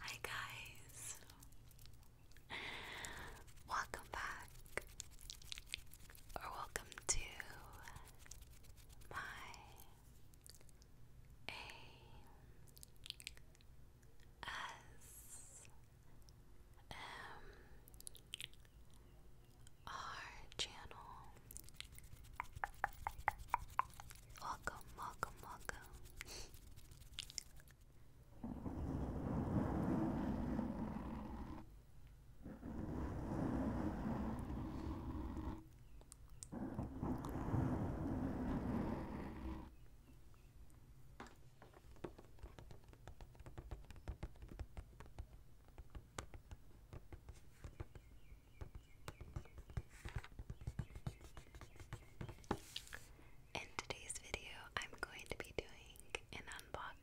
Hi, guys, welcome back or welcome to my A. S um, our channel. Welcome, welcome, welcome. In today's video, I'm going to be doing an unboxing.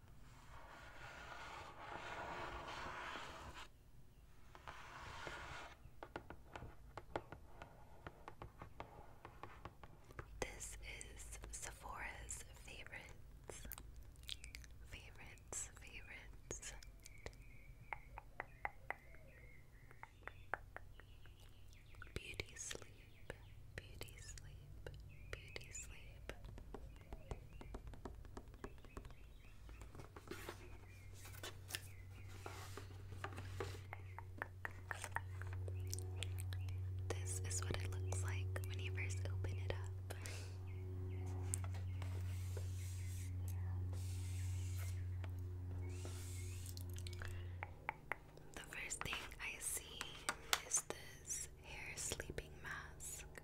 This is Sephora's favorites, favorites, favorites. Beauty sleep, beauty sleep, beauty sleep. This is what it looks like when you first open it up. The first thing I see is this hair sleeping mask.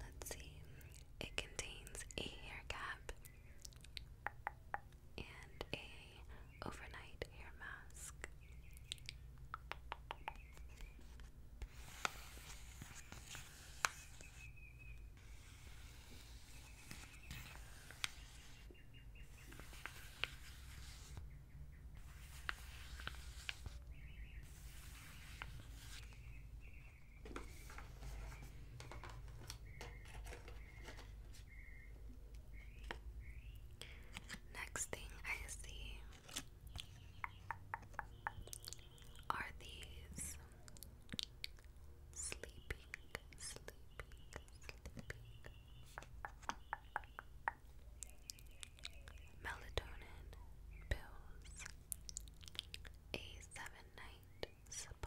Let's see. It contains a hair cap and a overnight hair mask. Next thing I see are these sleeping, sleeping, sleeping melatonin pills, a seven night supply.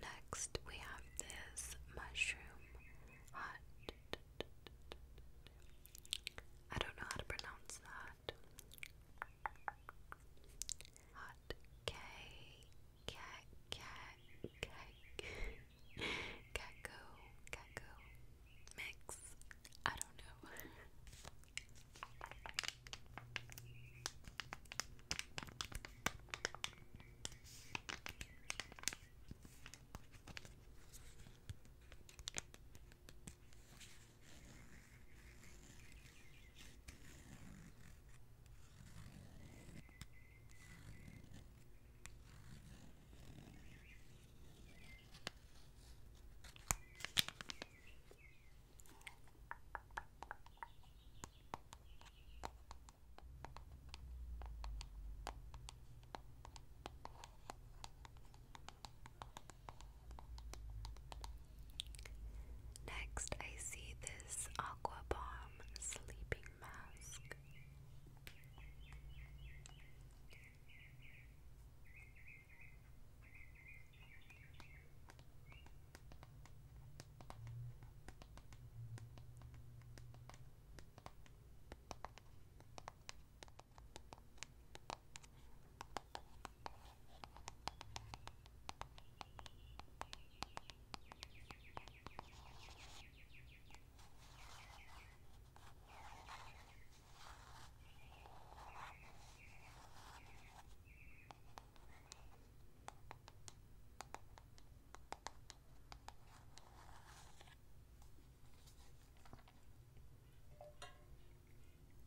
Next, we have this mushroom hot. I don't know how to pronounce that. Hot cake cat, cat, cat, catco, catco, mix. I don't know. Next, I see this Aqua Bomb sleeping mask.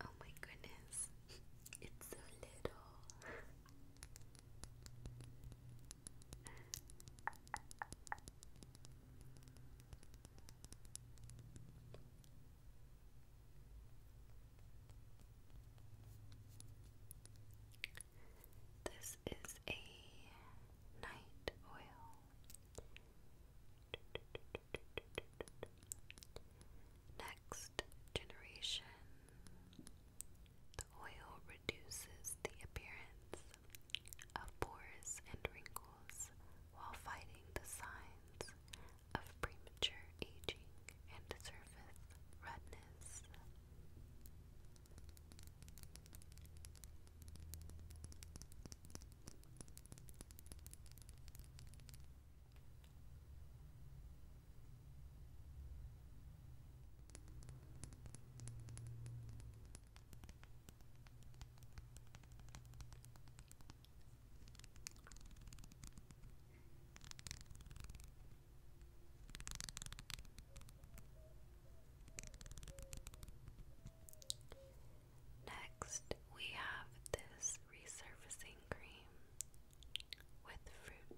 Oh my goodness, it's so little. This is a night oil. Next generation the oil reduces the appearance of pores and wrinkles while fighting the signs of premature aging and surface redness. Next, we have this resurfacing cream with fruit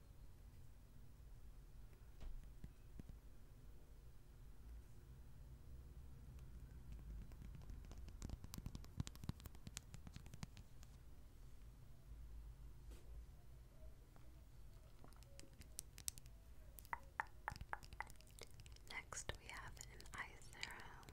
Next, we have an ice arrow.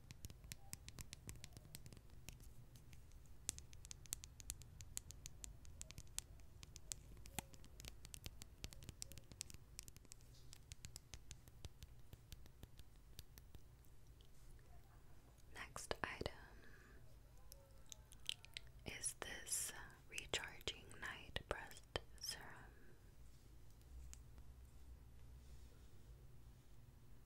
Next item is this recharging night breast serum.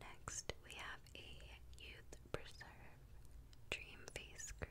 Next, we have a Youth Preserve Dream Face Cream.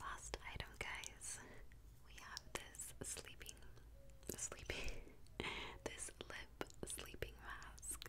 Last item, guys. We have this sleeping, sleeping, this lip sleeping mask.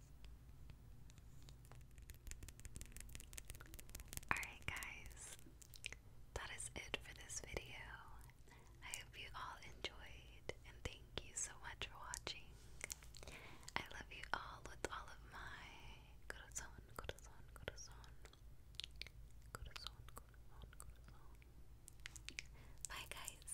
Alright, guys, that is it for this video. I hope you all enjoyed, and thank you so much for watching. I love you all with all of my corazon, corazon, corazon, corazon, corazon, corazon. Bye, guys.